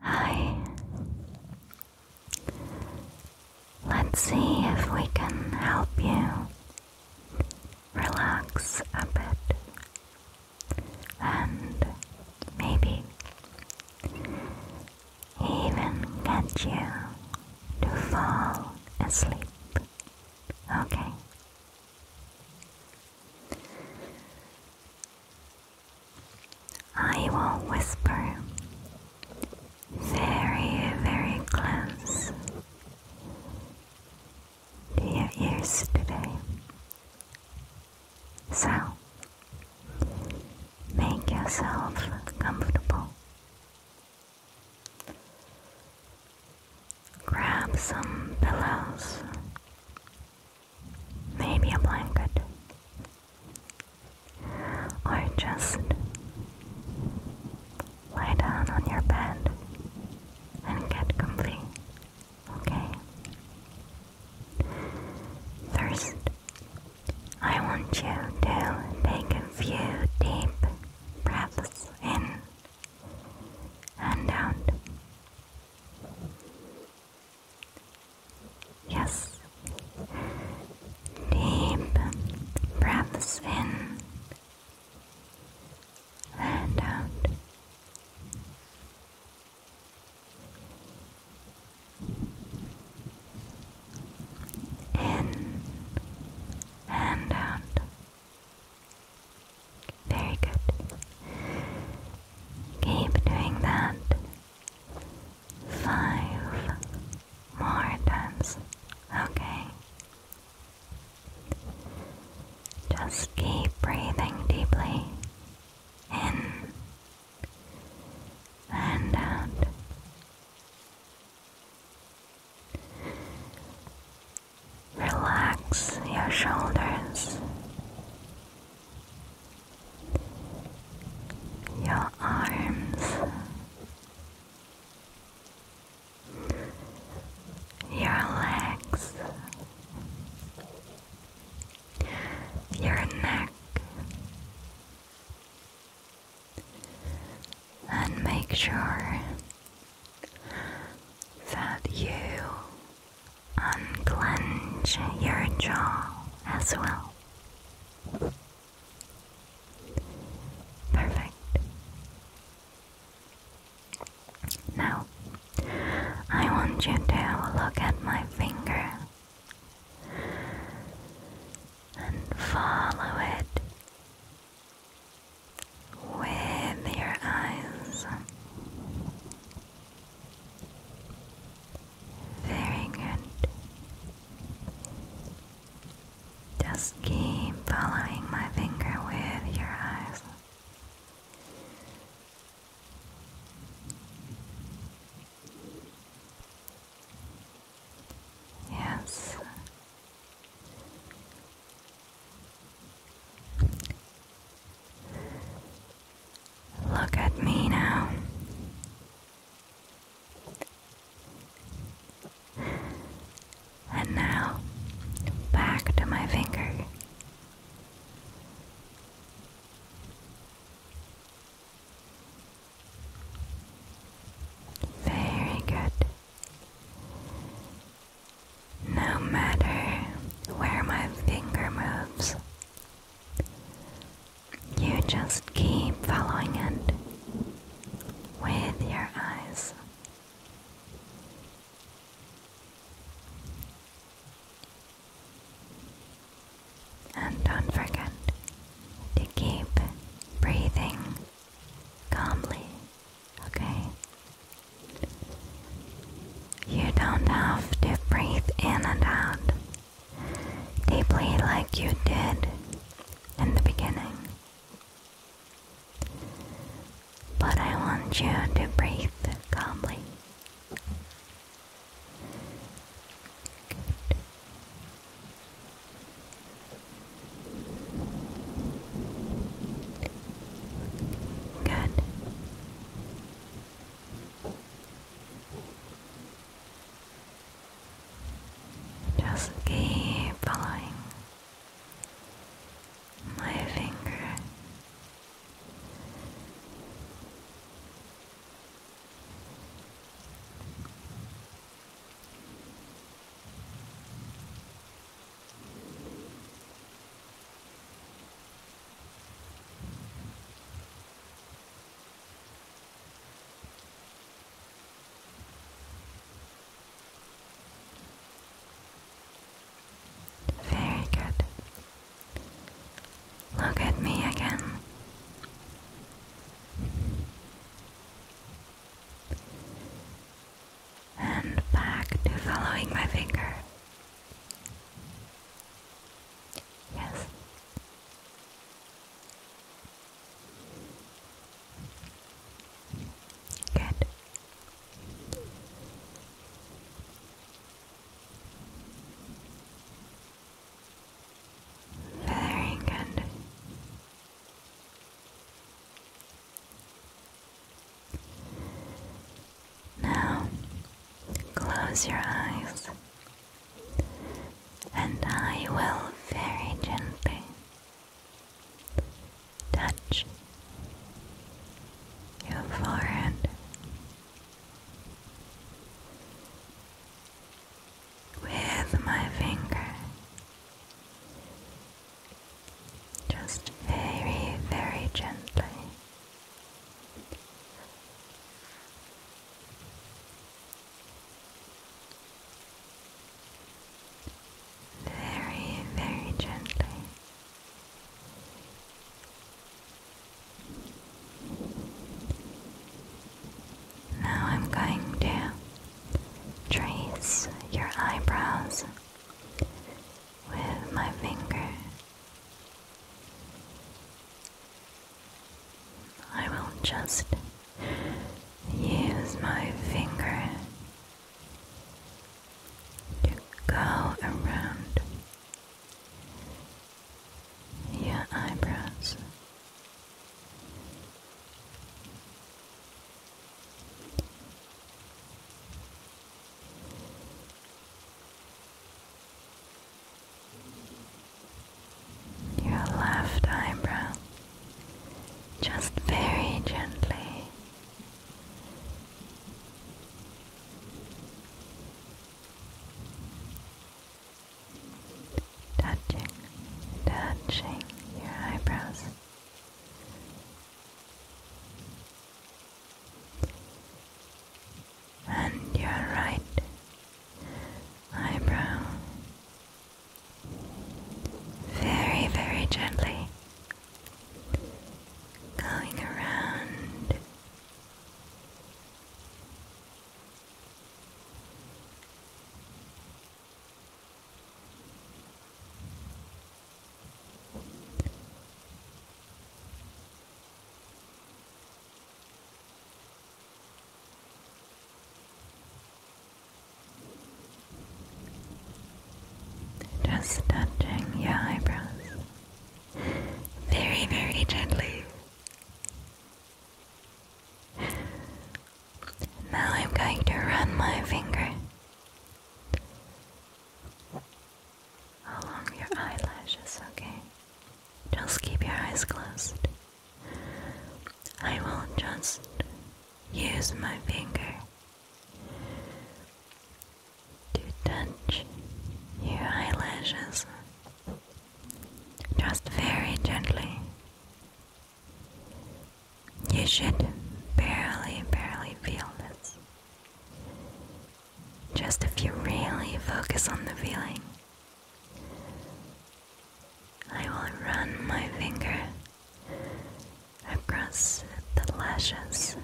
Hi. Let's see if we can help you relax a bit and maybe even get you to fall asleep. Okay. I will whisper very, very close to your ears today. So, make yourself comfortable. Grab some pillows maybe a blanket, or just lie down on your bed and get comfy, okay? First, I want you to take a few deep breaths in and out. Yes. Deep breaths in and out. In and out. Very good. Keep doing that five more times, okay? Just keep breathing deeply in and out. Relax your shoulders your arms, your legs, your neck, and make sure that you unclench your jaw as well. Perfect. Now, I want you to look at my finger and follow it with your eyes. Very good. Just keep following my finger with your eyes. Yes. Look at me now. And now, back to my finger. Very good. No matter where my finger moves, you just keep following it with your eyes. And don't forget to keep breathing calmly, okay? You don't have to breathe in and out deeply like you did in the beginning. But I want you to breathe calmly. Good. Just keep following my finger. Very good. Look at me again. And back to following my finger. Yes. Good. Very good. Now close your eyes, and I will very gently touch your forehead. With my finger, just very, very gently very, very gently. Now I'm going to trace your eyebrows with my finger. I will just use my finger to go around your eyebrows your left eyebrow, just very gently. Touching, touching your eyebrows and your right eyebrow. Very, very gently going around. Just touching your eyebrows very, very gently. Now I'm going to run my finger along your eyelashes, okay? Just keep your eyes closed. I will just use my finger to touch your eyelashes just very gently. You should barely, barely feel this. Just if you really focus on the feeling, I will run my finger across the lashes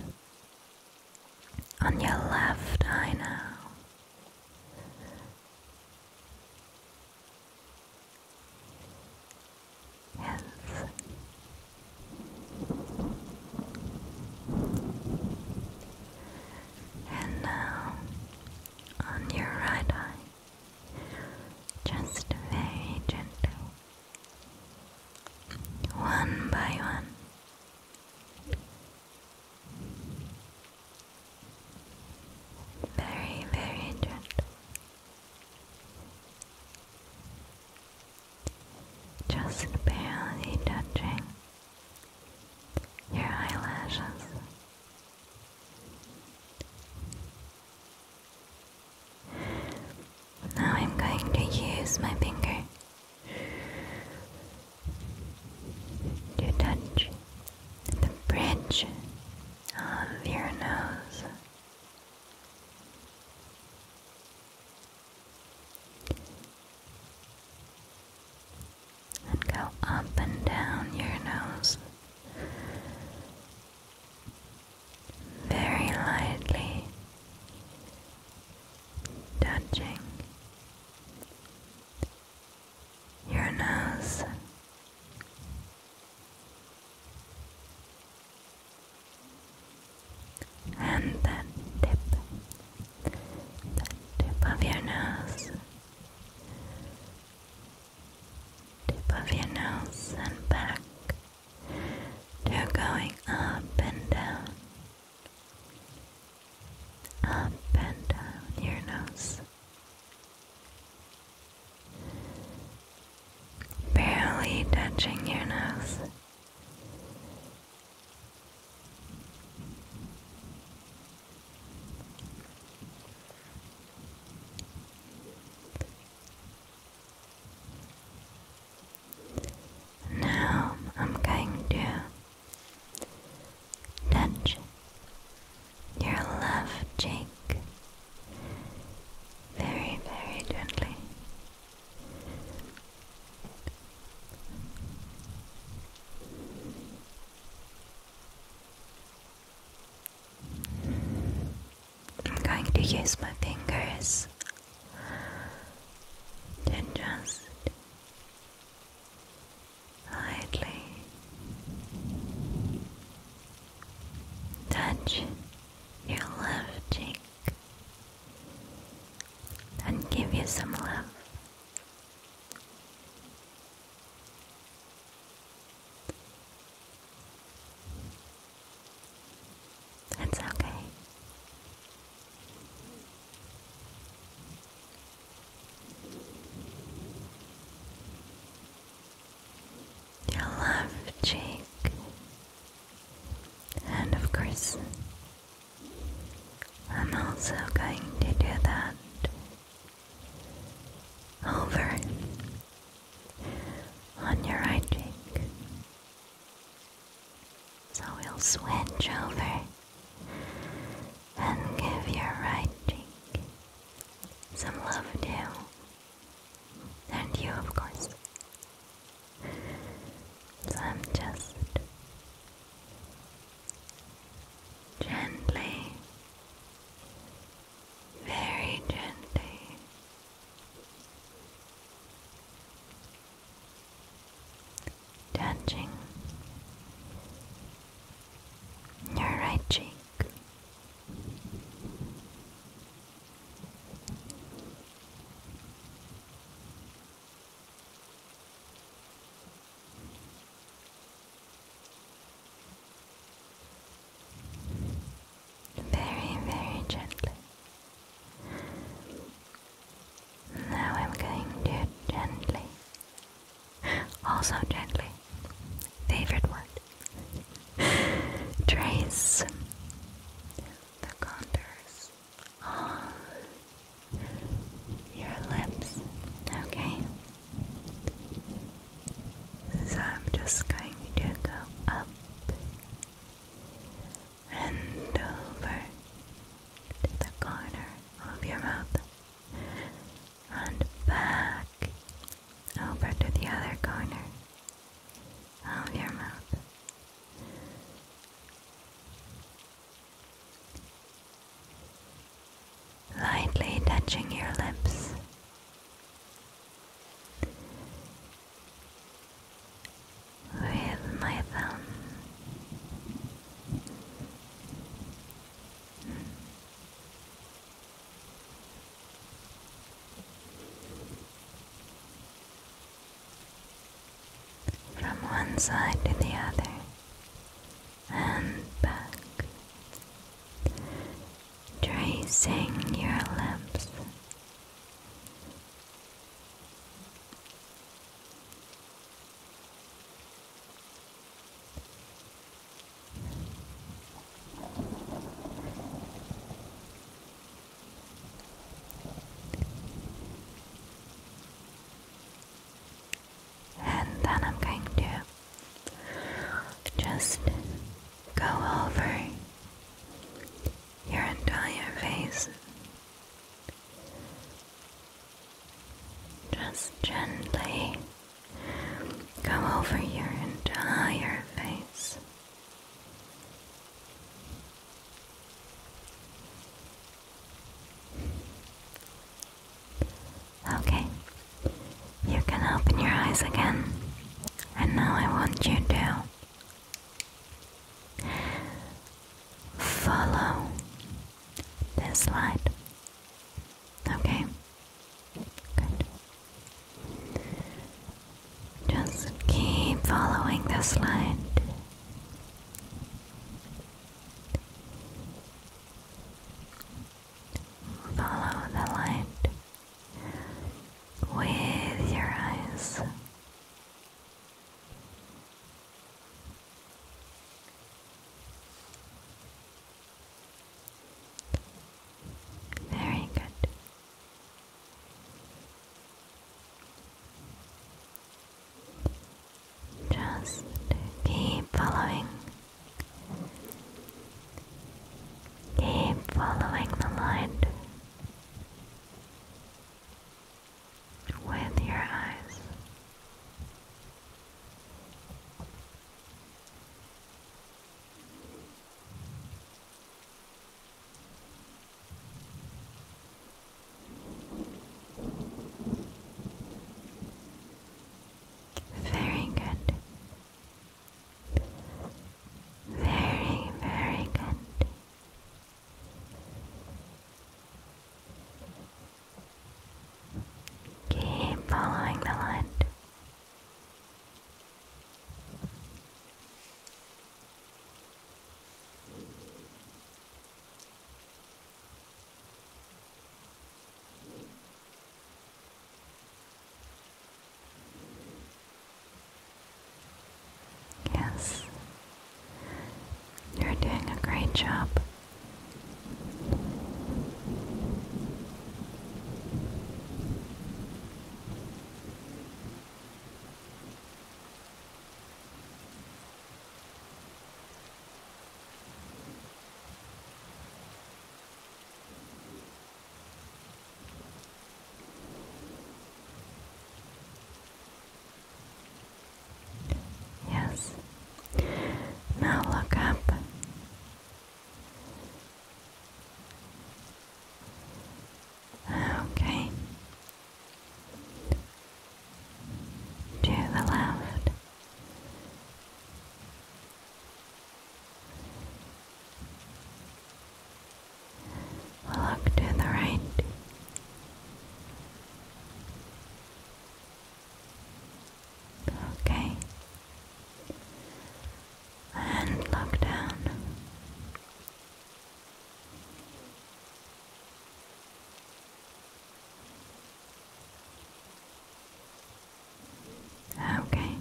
on your left eye now. Yes. And now on your right eye, just very gently, one by one. Very, very gentle. Just barely touching your eyelashes. Now I'm going to use my finger to touch the bridge of your nose and go up and down your nose very lightly, touching your nose. And the tip tip of your nose, tip of your nose and back. They're going up and down, up and down your nose. Barely touching your nose. Now I'm going to touch your left cheek very, very gently. I'm going to use my fingers to just lightly touch your left cheek and give you some love. It's okay. Your left cheek, and of course, I'm also going to do that over on your right cheek. So we'll switch over and give your right cheek some love too. And you, of course. So I'm just gently, very gently. Touching your right cheek, very, very gently. Now I'm going to gently, also gently, favorite word, trace the contours Oh, your lips, okay? So I'm just going to go up and over to the corner of your mouth and back over to the other corner of your mouth lightly touching your lips. With my thumb, from one side to the other and back, tracing your lips and then I'm going to just go over your entire face. Just gently go over your entire face. Okay, you can open your eyes again, and now I want you to follow this light. Okay, good. Just keep following this light. Follow the light with your eyes. Very good. Just keep following. Keep following the light with your eyes. Very good. Very, very good. Keep following the light. Yes, you're doing a great job. Yes. Now look up. Okay to the left, look to the right. Okay. And look down. Okay.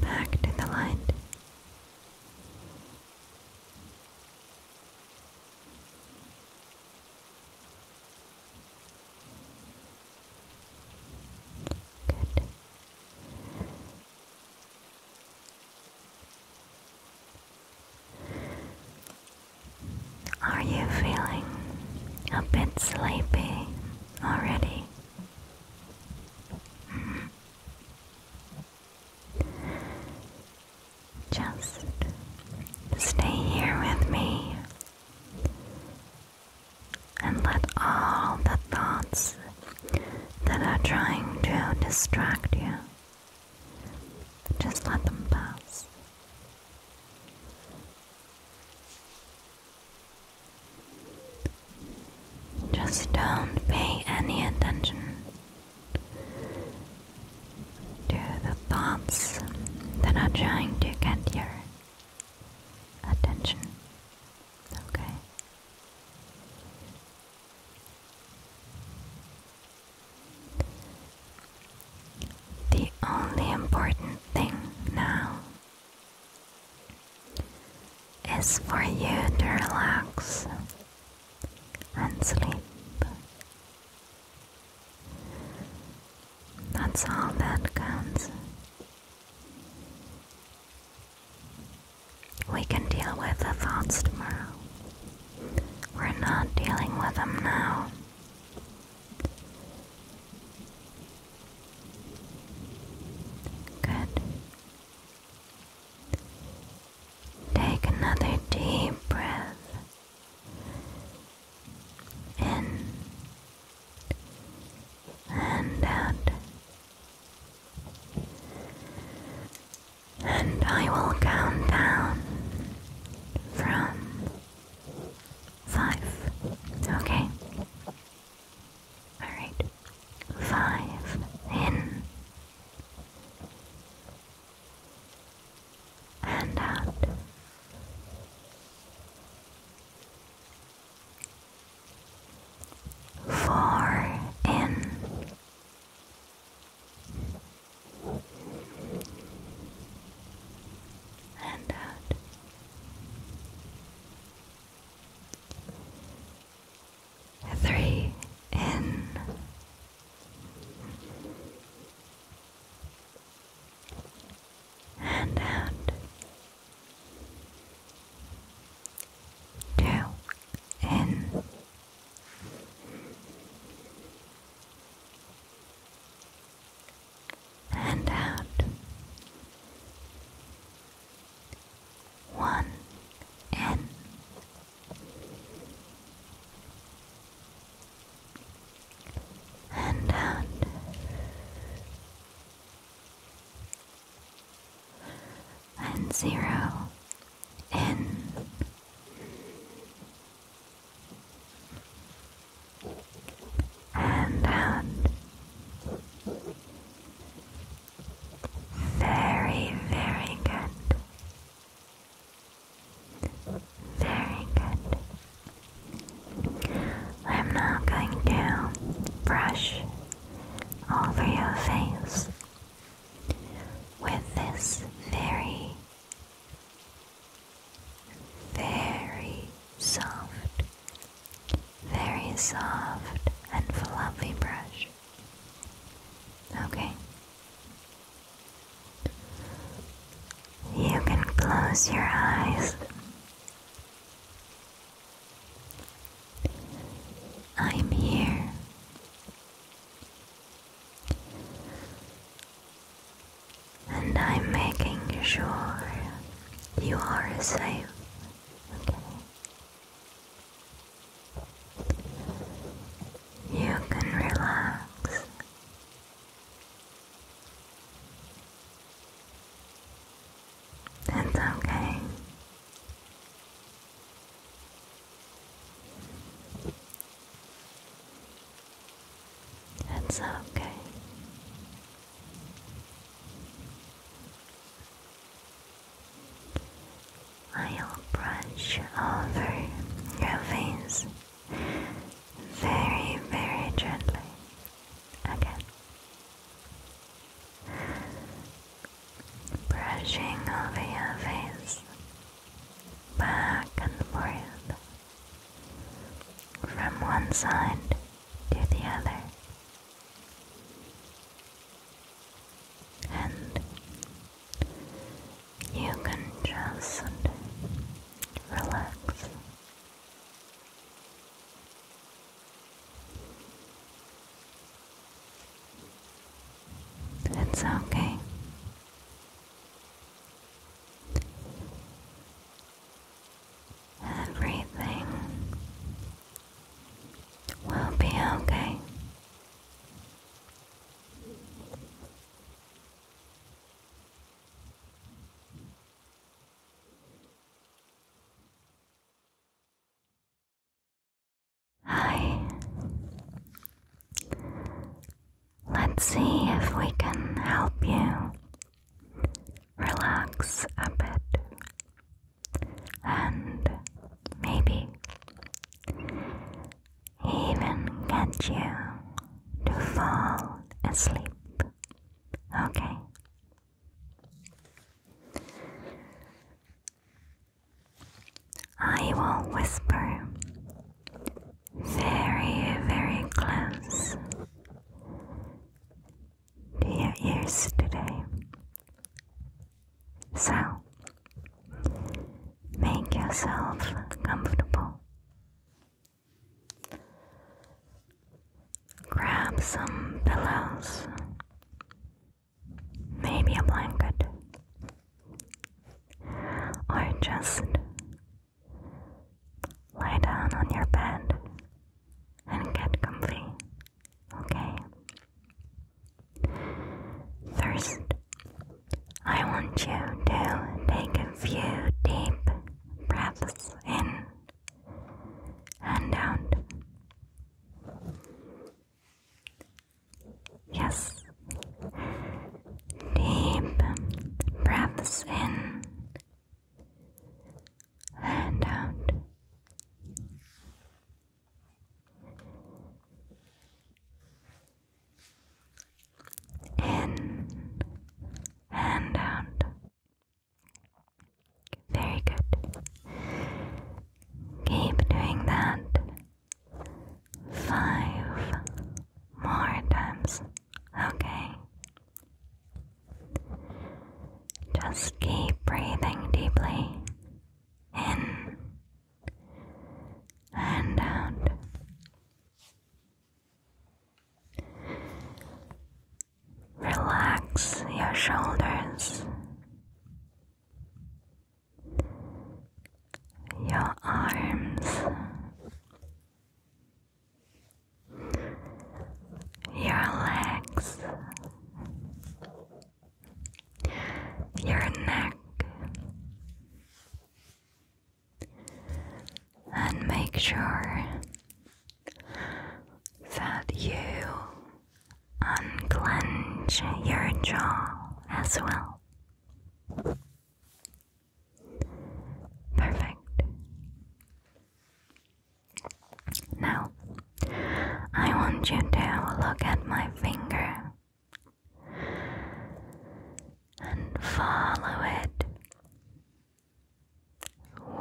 Back to the light. Good. Are you feeling a bit sleepy already? Mm-hmm. Just stay here with me and let all the thoughts that are trying to distract you just let them pass. Just don't pay any attention to the thoughts that are trying to get your attention. Okay. The only important thing now is for you to relax and sleep. That's all that counts. We can deal with the thoughts tomorrow. We're not dealing with them now. Good. Take another deep breath in and out and I will count down from five. Okay? Alright. Five in and out. Four in and out. Three in. And out. Two in and out. One in. And out and zero in. And out. Very, very good. Very good. I'm now going to brush over your face with this very, very soft, very soft and fluffy brush. Okay. You can close your eyes. I'm here. And I'm making sure you are safe, okay? You can relax. It's okay. It's okay. I'll brush over your face very, very gently again brushing over your face, back and forth, from one side to the other, and you can just relax. It's okay. Everything will be okay. Hi. Let's see if we can help you relax a bit and maybe even get you to fall asleep. Okay. I will whisper very, very close to your ears today. So, make yourself comfortable. Grab some pillows maybe a blanket, or just lie down on your bed and get comfy, okay? First, I want you to take a few deep breaths in and out. Yes. Deep breaths in and out. In and out. Very good. Keep doing that Five more times, okay? Just keep breathing deeply in and out. Relax your shoulders your arms, your legs, your neck, and make sure that you unclench your jaw as well. Perfect. Now, I want you to look at my finger and follow it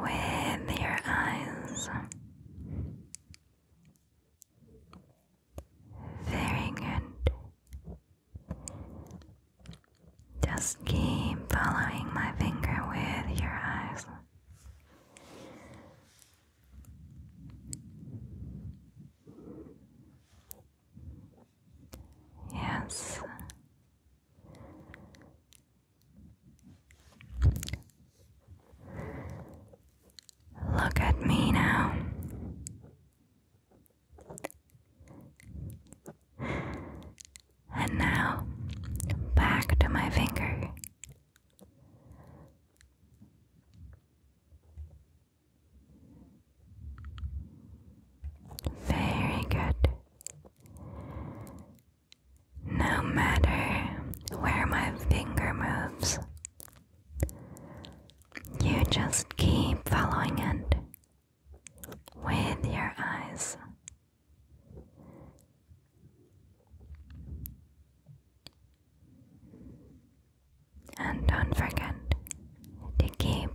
with your eyes very good. Just keep following my finger with your eyes. Yes. Look at me now. And now, back to my finger. Very good. No matter where my finger moves, you just keep following it with your eyes. And don't forget to keep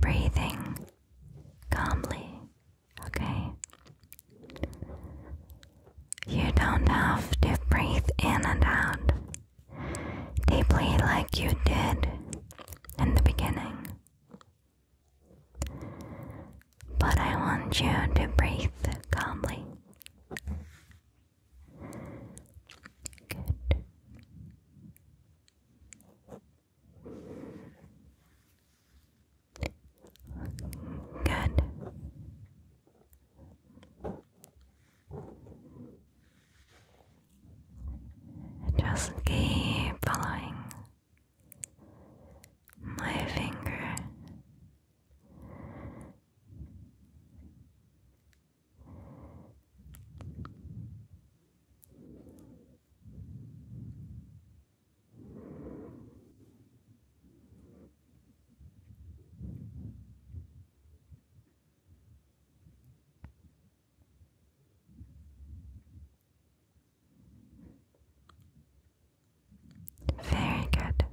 breathing calmly, okay? You don't have to breathe in and out deeply like you did in the beginning. But I want you to breathe calmly. Good. Good. Just keep following my finger. Very good.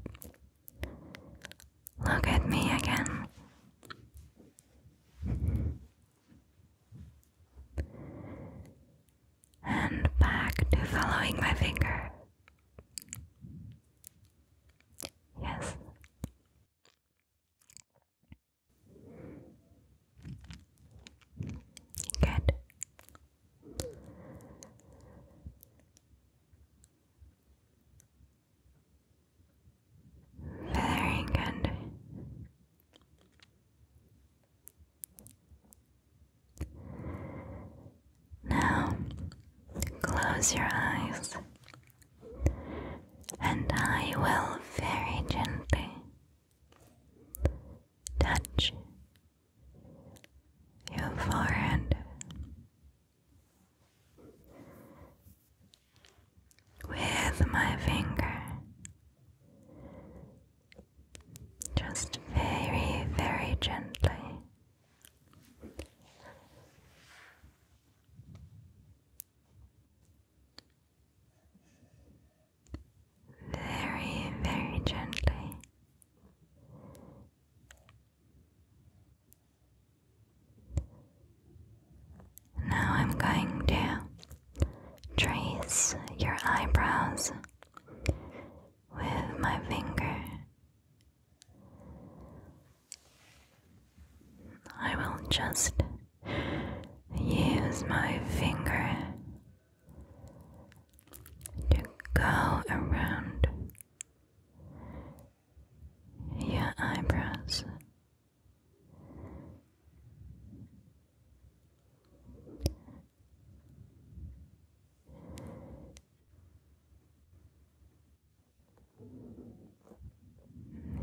Look at me again. And back to following my finger. Yes. Good. Very good. Now close your eyes, and I will very gently touch your forehead with my finger. Just very, very gently. Very, very gently. Now I'm going to trace your eyebrows with my finger I will just use my finger to go around your eyebrows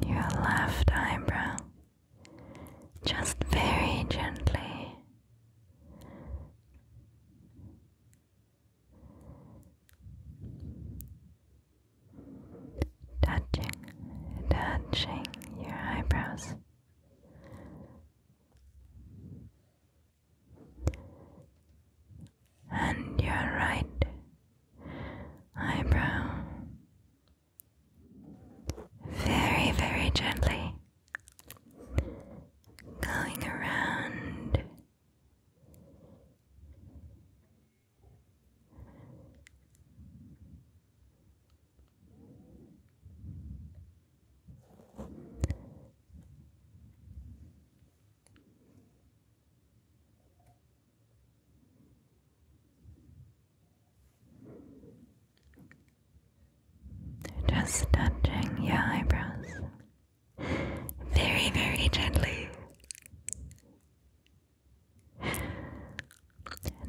your left eyebrow, just very gently. Touching, touching your eyebrows, and your right eyebrow. Very, very gently going around they're just touching your eyebrows very, very gently.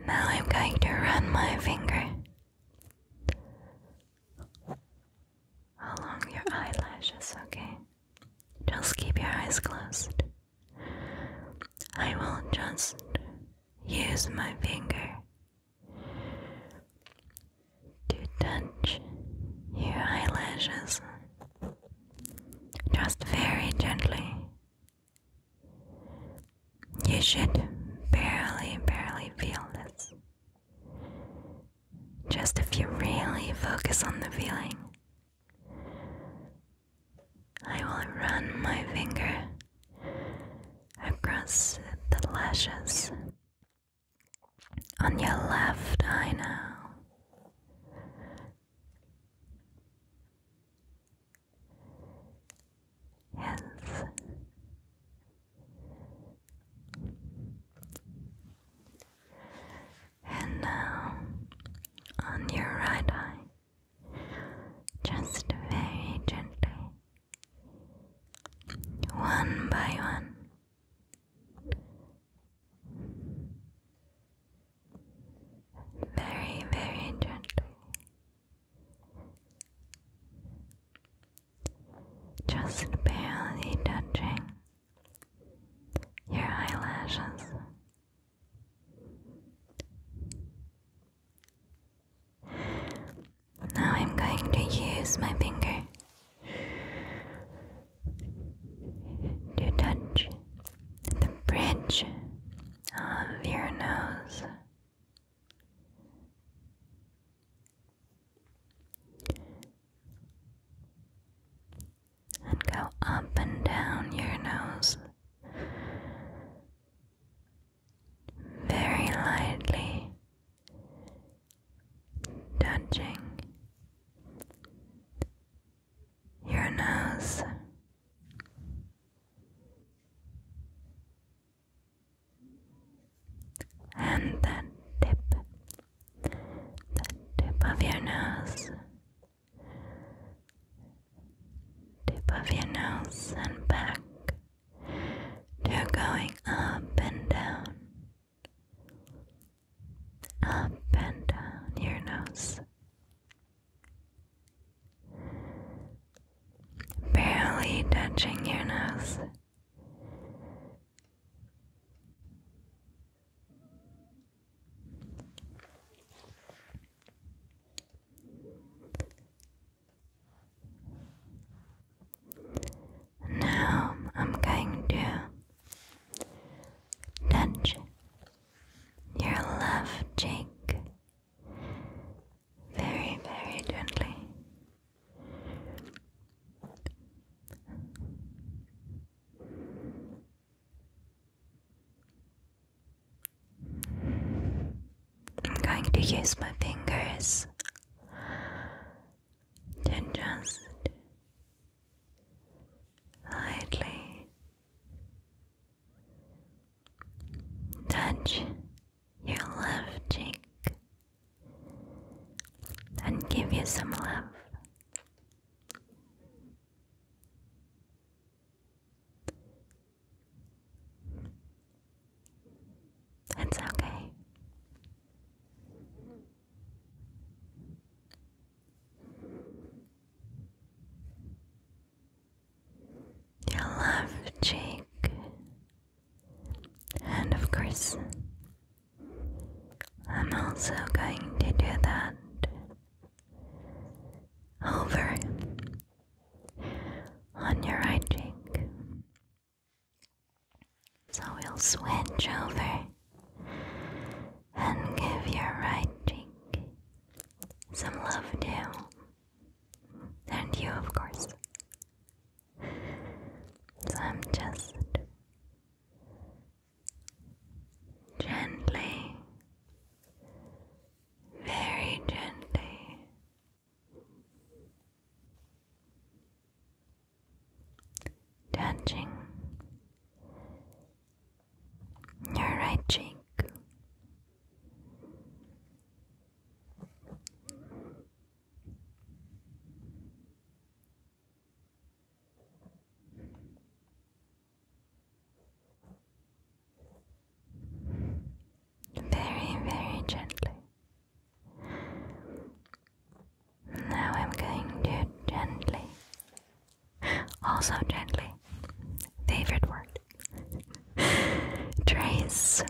Now I'm going to run my finger along your eyelashes, okay? Just keep your eyes closed. I will just use my finger to touch your eyelashes just very gently. You should barely, barely feel this. Just if you really focus on the feeling, I will run my finger across the lashes on your left eye now. Yes. And now on your right eye, just very gently, one by one. Very, very gently. Just barely touching your eyelashes. Now I'm going to use my finger to touch the bridge of your nose and go up and down your nose very lightly, touching your nose. And that tip the tip of your nose, tip of your nose and back. You're going up and down, up and down your nose. Barely touching your nose. Now I'm going to touch your left cheek very, very gently. I'm going to use my fingers to just lightly touch your left cheek and give you some love. It's okay. Your love, Jake, and of course, I'm also going to do that over on your right cheek. So we'll switch over and give your right cheek some love too. And you, of course. So I'm just gently, very gently. Touching your right cheek, very, very gently. Now I'm going to gently, also gently, favorite word, trace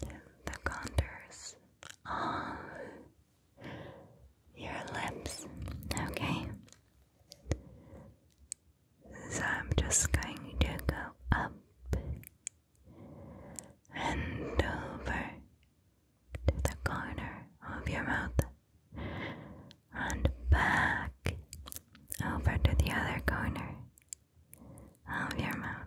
the contours of your lips, okay? So I'm just going to go up and over to the corner of your mouth and back over to the other corner of your mouth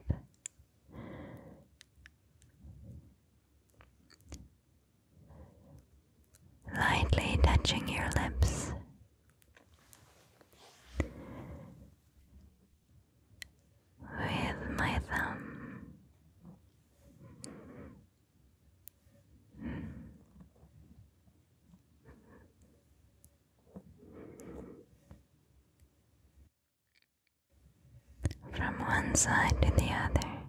lightly touching your lips. With my thumb, from one side to the other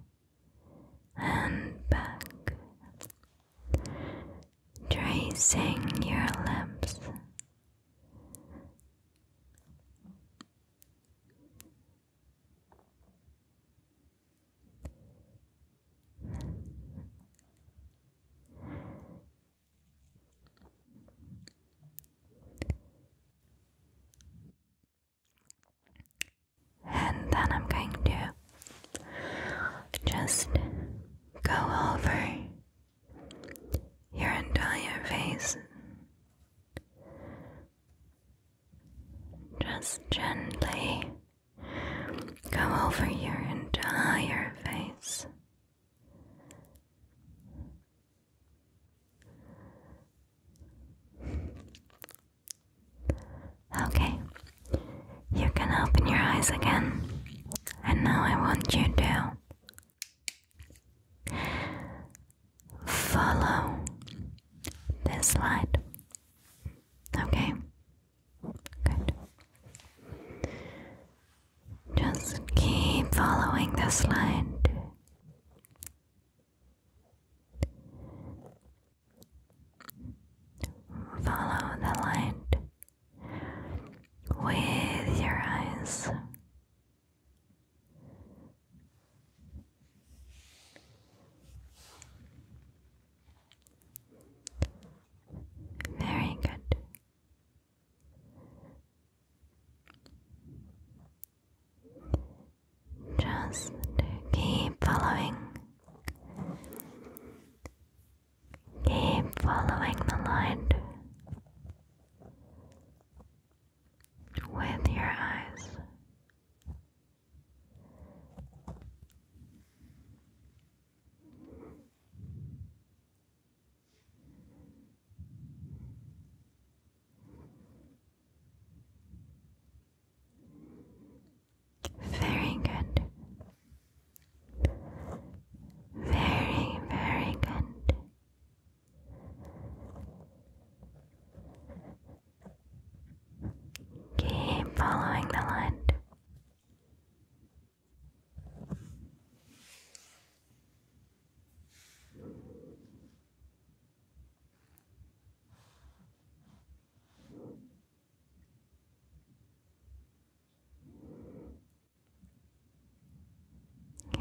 and back, tracing your lips and then I'm going to just go over your entire face, just gently go over your entire face. Okay, you can open your eyes again, and now I want you to follow this light. Okay, good. Just keep following this light. Follow the light with your eyes. Very good. Just keep following, keep following the light with your eyes. Very good. Very, very good. Keep following the light.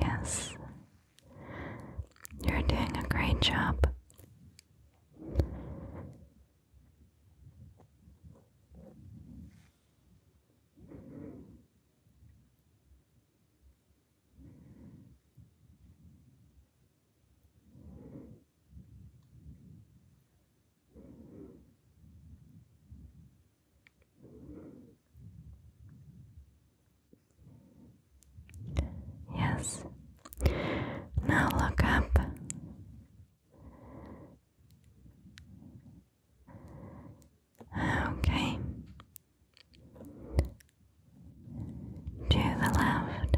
Yes, you're doing a great job. Yes. Now look up. Okay to the left,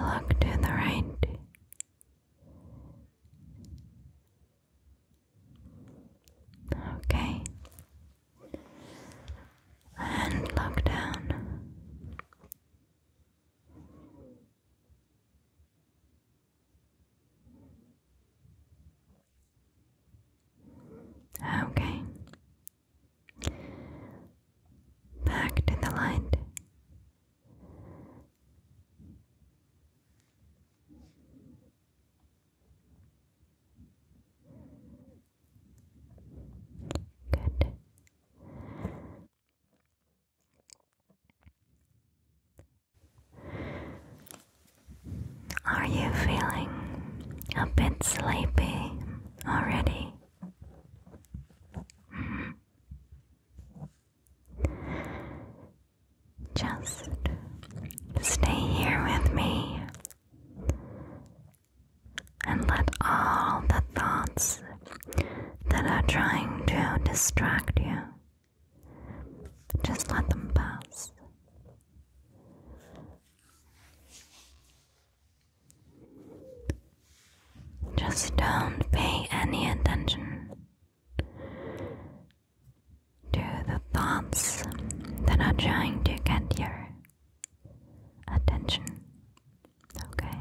look to the right. Okay. And look down. Okay. Back to the light. Good. Are you feeling a bit sleepy already? Mm-hmm. Just stay here with me and let all the thoughts that are trying to distract you just let them pass. Just don't pay any attention to the thoughts that are trying to get your attention. Okay?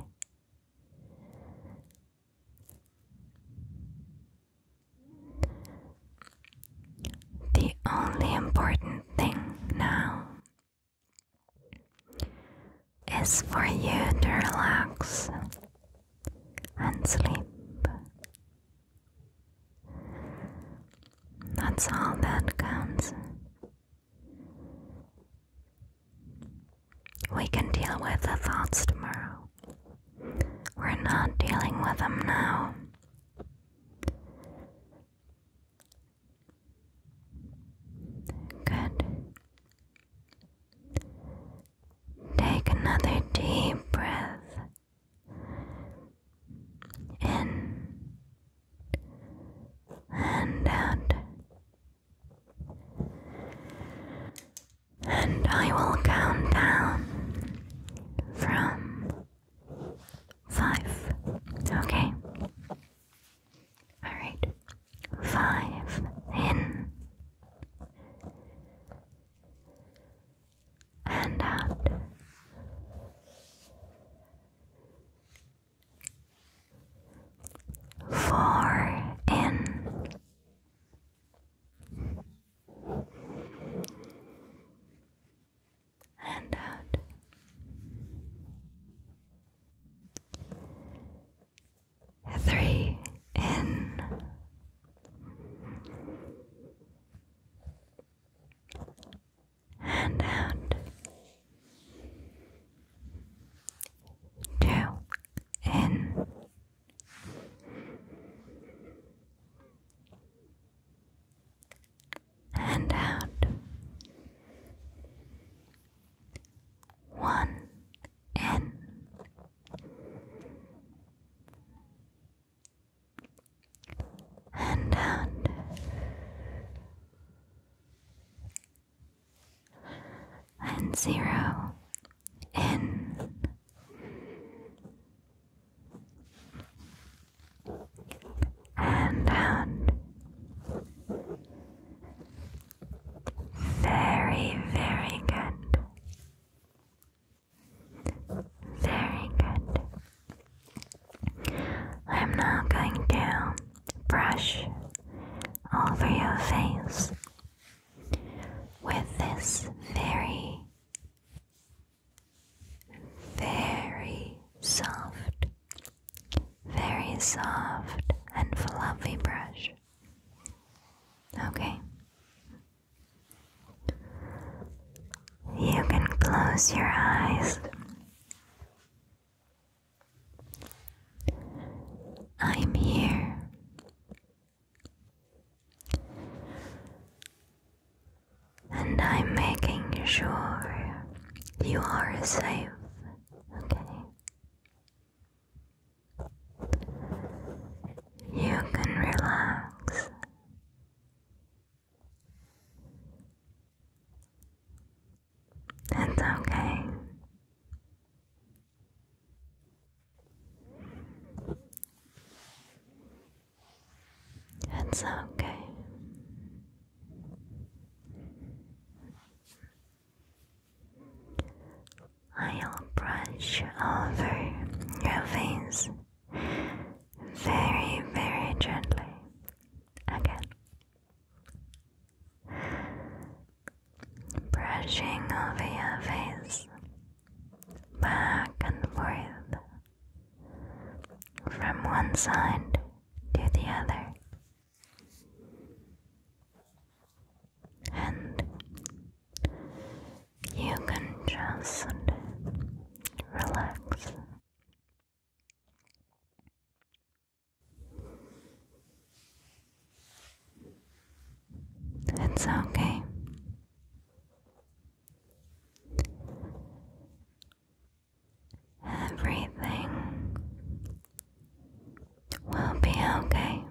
The only important thing now is for you to relax and sleep. That's all that counts. We can deal with the thoughts tomorrow. We're not dealing with them now. Good. Take another deep breath in and out. And I will count down from five. Okay. Alright. Five in and out. Four in and out. Three in, and out. Two in and out. One in. And out. And zero in. And out. Very, very good. Very good. I'm now going to brush over your face with this very, very soft, very soft and fluffy brush. Okay. You can close your eyes. I'm here. And I'm making sure you are safe, okay? You can relax. It's okay. It's okay. I'll brush over your face very, very gently again brushing over your face, back and forth, from one side to the other. And you can just relax. It's okay. Everything will be okay.